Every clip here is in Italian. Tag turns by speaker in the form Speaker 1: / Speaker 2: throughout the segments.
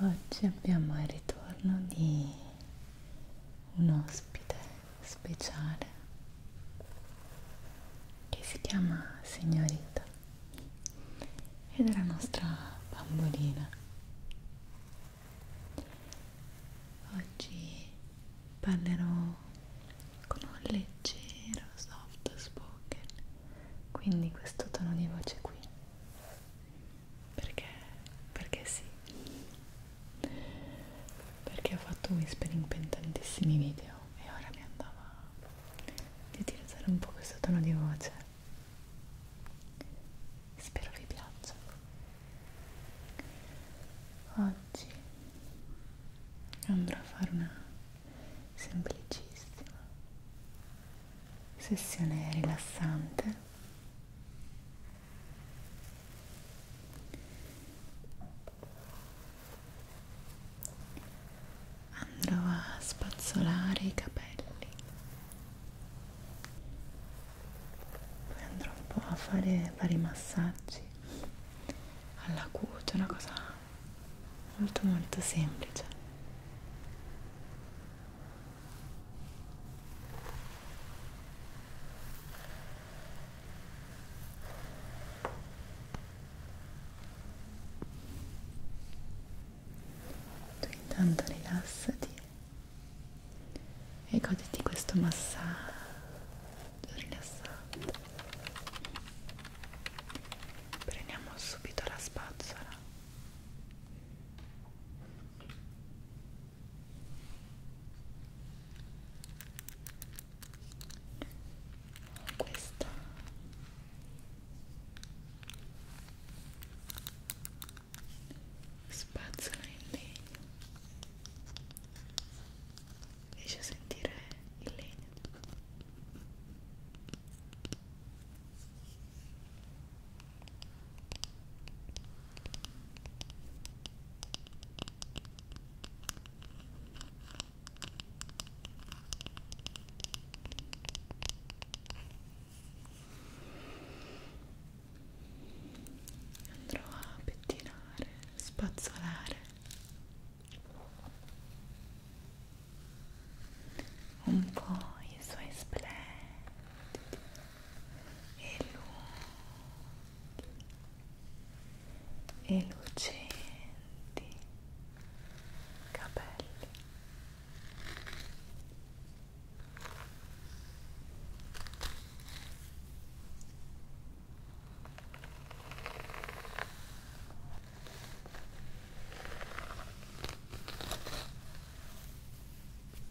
Speaker 1: Oggi abbiamo il ritorno di un ospite speciale che si chiama Signorita ed è la nostra bambolina. Oggi parlerò con un leggero soft spoken, quindi questo tono di voce qui perché perché sì perché ho fatto whispering per tantissimi video e ora mi andava di utilizzare un po' questo tono di voce spero vi piaccia oggi andrò a fare una semplicissima sessione rilassante andrò a spazzolare i capelli poi andrò un po' a fare vari massaggi alla cute una cosa molto molto semplice tu intanto rilassati e goditi questo massaggio rilassante. Prendiamo subito la spazzola questa spazzola in legno riesci a sentire il legno andrò a pettinare, spazzolare un po' i suoi splendidi e lunghi e lucenti capelli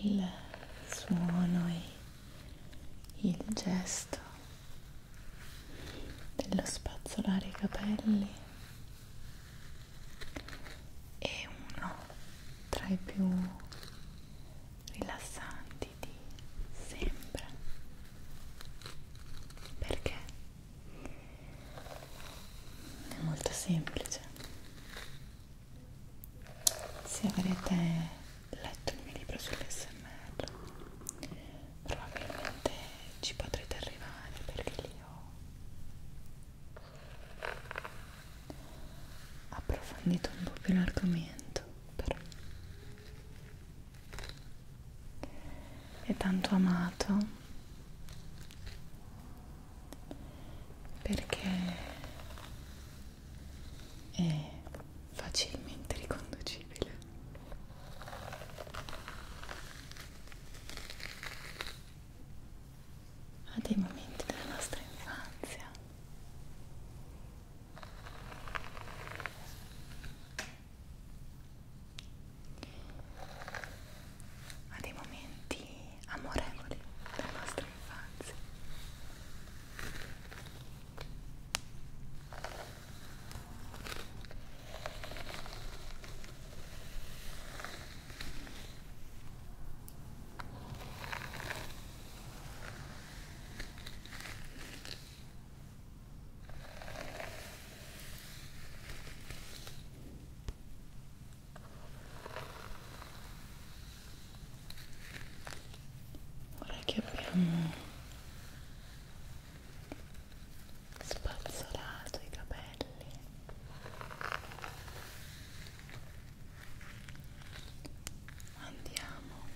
Speaker 1: il suono e il gesto dello spazzolare i capelli è uno tra i più rilassanti sentiti sempre perché è molto semplice se avrete letto il mio libro sull'SMR probabilmente ci potrete arrivare perché lì ho approfondito un po' più l'argomento però e tanto amato perché è facilmente riconducibile a dei momenti della nostra infanzia a dei momenti amorevoli della nostra infanzia ora che abbiamo spazzolato i capelli andiamo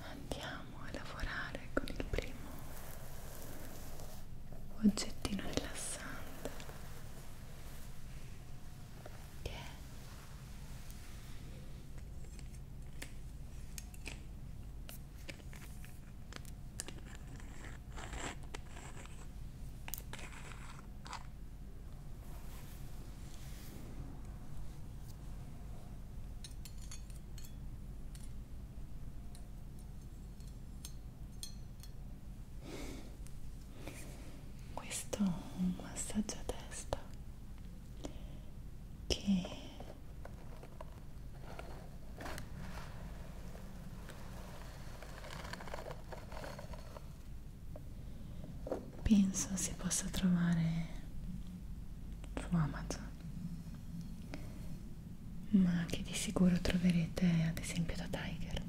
Speaker 1: Andiamo a lavorare con il primo oggettino rilassante che questo è un massaggio a testa che penso si possa trovare su Amazon ma che di sicuro troverete ad esempio da Tiger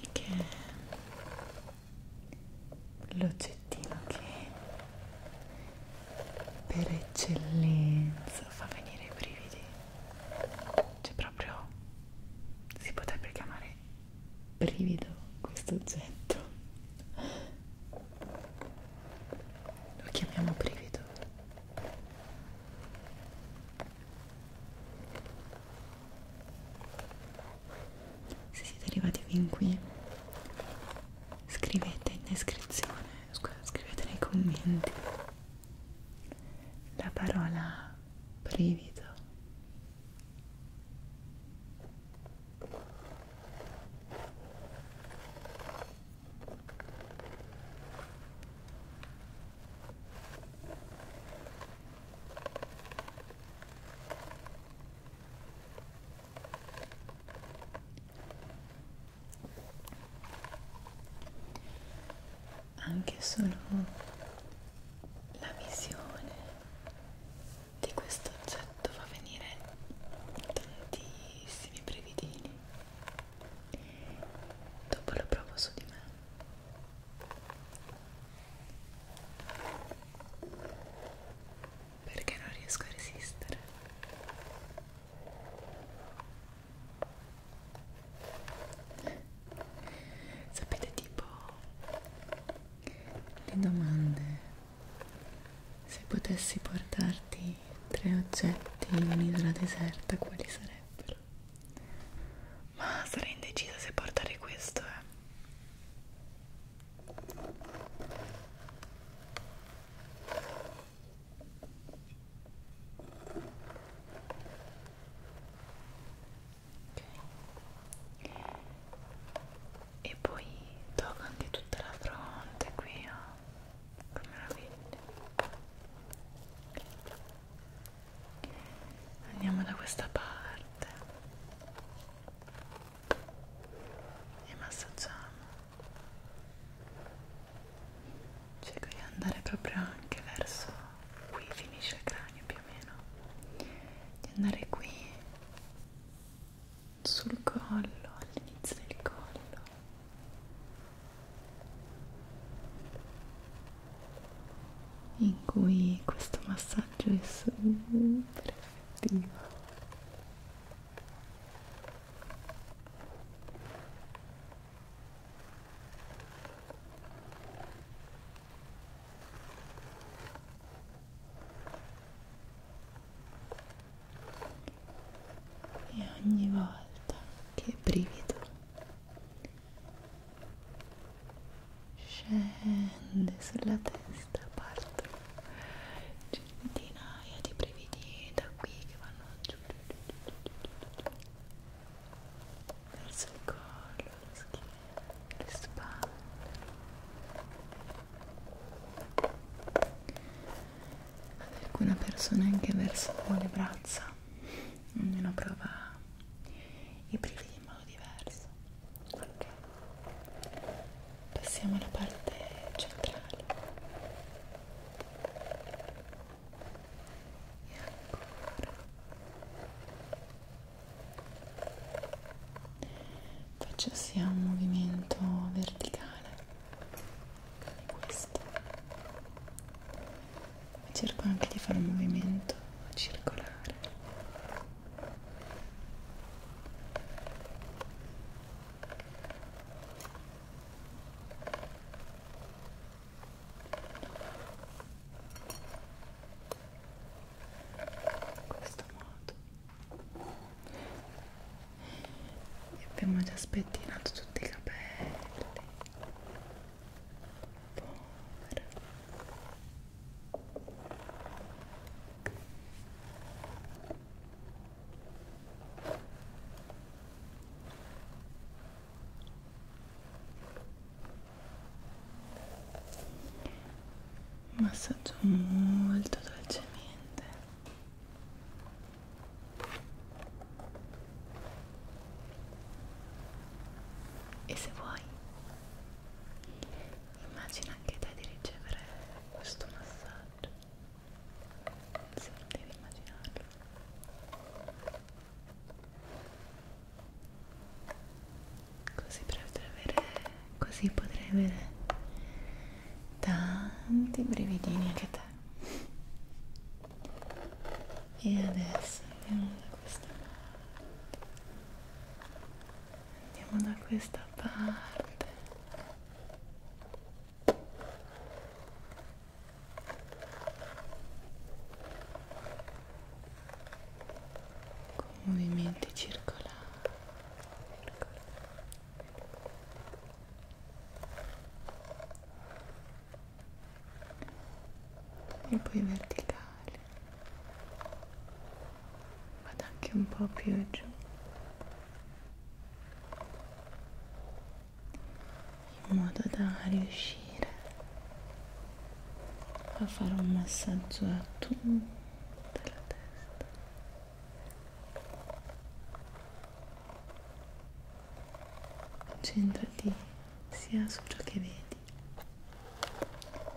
Speaker 1: e che l'oggettino che per eccellenza fa venire i brividi cioè proprio si potrebbe chiamare brivido questo oggetto lo chiamiamo brivido se siete arrivati fin qui scrivete in descrizione scusa scrivete nei commenti la parola brivido anche solo la visione di questo oggetto fa venire tantissimi brevidini. Dopo lo provo su di me perché non riesco a resistere sapete tipo le domande se potessi portarti tre oggetti in un'isola deserta quali sarebbero ma sarei indecisa se portare questo eh e poi tocca anche tutta la fronte qui oh. che meraviglia andiamo da questa parte e massaggiamo cerco di andare proprio anche verso qui finisce il cranio più o meno di andare qui sul collo all'inizio del collo in cui questo massaggio è super effettivo e ogni volta che brivido scende sulla testa, partono centinaia di brividi da qui che vanno giù verso il collo, la schiena, le spalle ad alcune persone anche verso le braccia ognuno prova i brividi in modo diverso ok passiamo alla parte centrale e ancora faccio sia un movimento verticale come questo cerco anche di fare un movimento circolare in questo modo e abbiamo già spettinato tutti i capelli povera un massaggio molto dolcemente e se vuoi Immagina anche te di ricevere questo massaggio. Se non devi immaginarlo. Così potrai avere, così potrai avere tanti brividini anche te. E adesso andiamo da questa parte andiamo da questa parte con movimenti circolari, circolari. e poi verticali vado anche un po' più giù in modo da riuscire a fare un massaggio a tutta la testa concentrati sia su ciò che vedi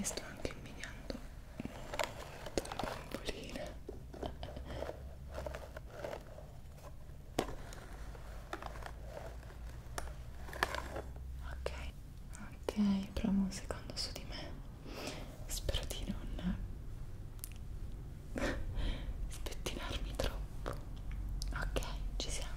Speaker 1: e sto anche immediando molto la bambolina ok ok provo un secondo su di me spero di non spettinarmi troppo ok ci siamo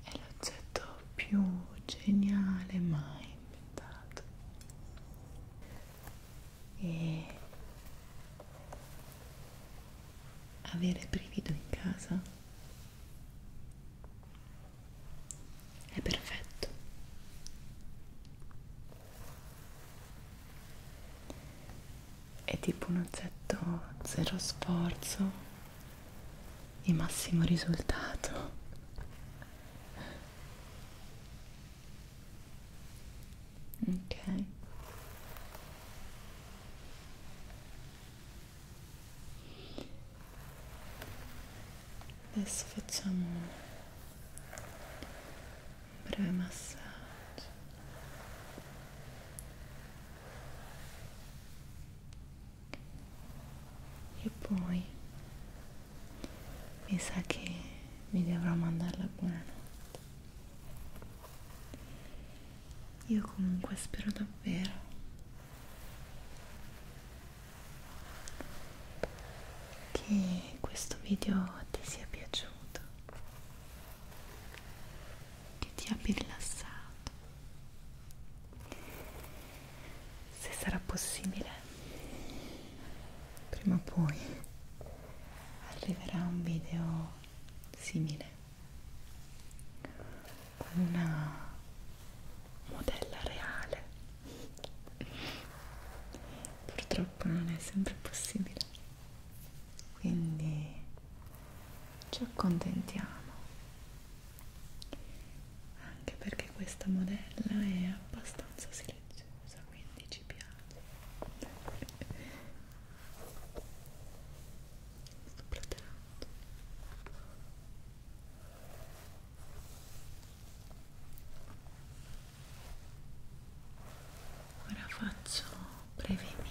Speaker 1: È l'oggetto più geniale mai inventato. E avere brivido in casa è perfetto è tipo un oggetto zero sforzo di massimo risultato ok adesso facciamo un breve massaggio e poi mi sa che mi dovrò mandare la buonanotte io comunque spero davvero che questo video ti sia piaciuto che ti abbia rilassato se sarà possibile prima o poi arriverà un video simile con una modella reale purtroppo non è sempre possibile quindi ci accontentiamo anche perché questa modella è abbastanza silenziosa quindi ci piace sto platerando ora faccio brevemente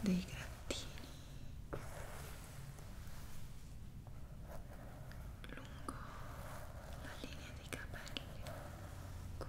Speaker 1: dei grattini lungo la linea dei capelli qui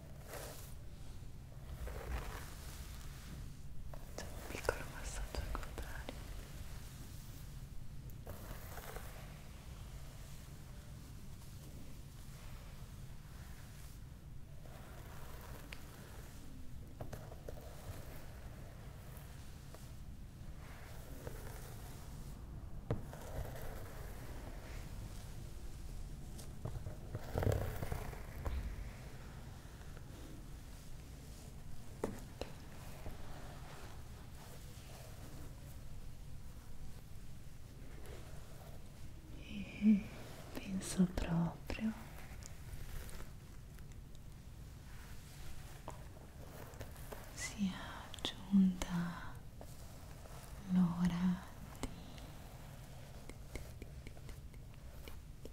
Speaker 1: Facciamo un piccolo massaggio al contrario. Ora e penso proprio sia giunta l'ora di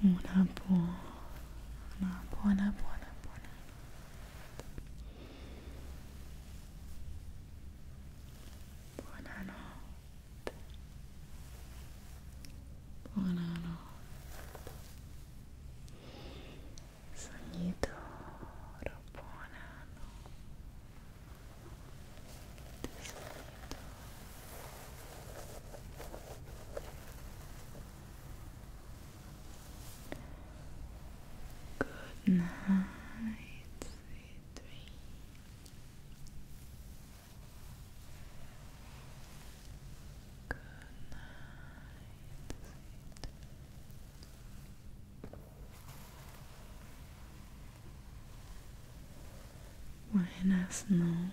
Speaker 1: una buona buona buona buona buonanotte buonanotte sogni d'oro buonanotte sogni d'oro Good night, Good night, Buenas noches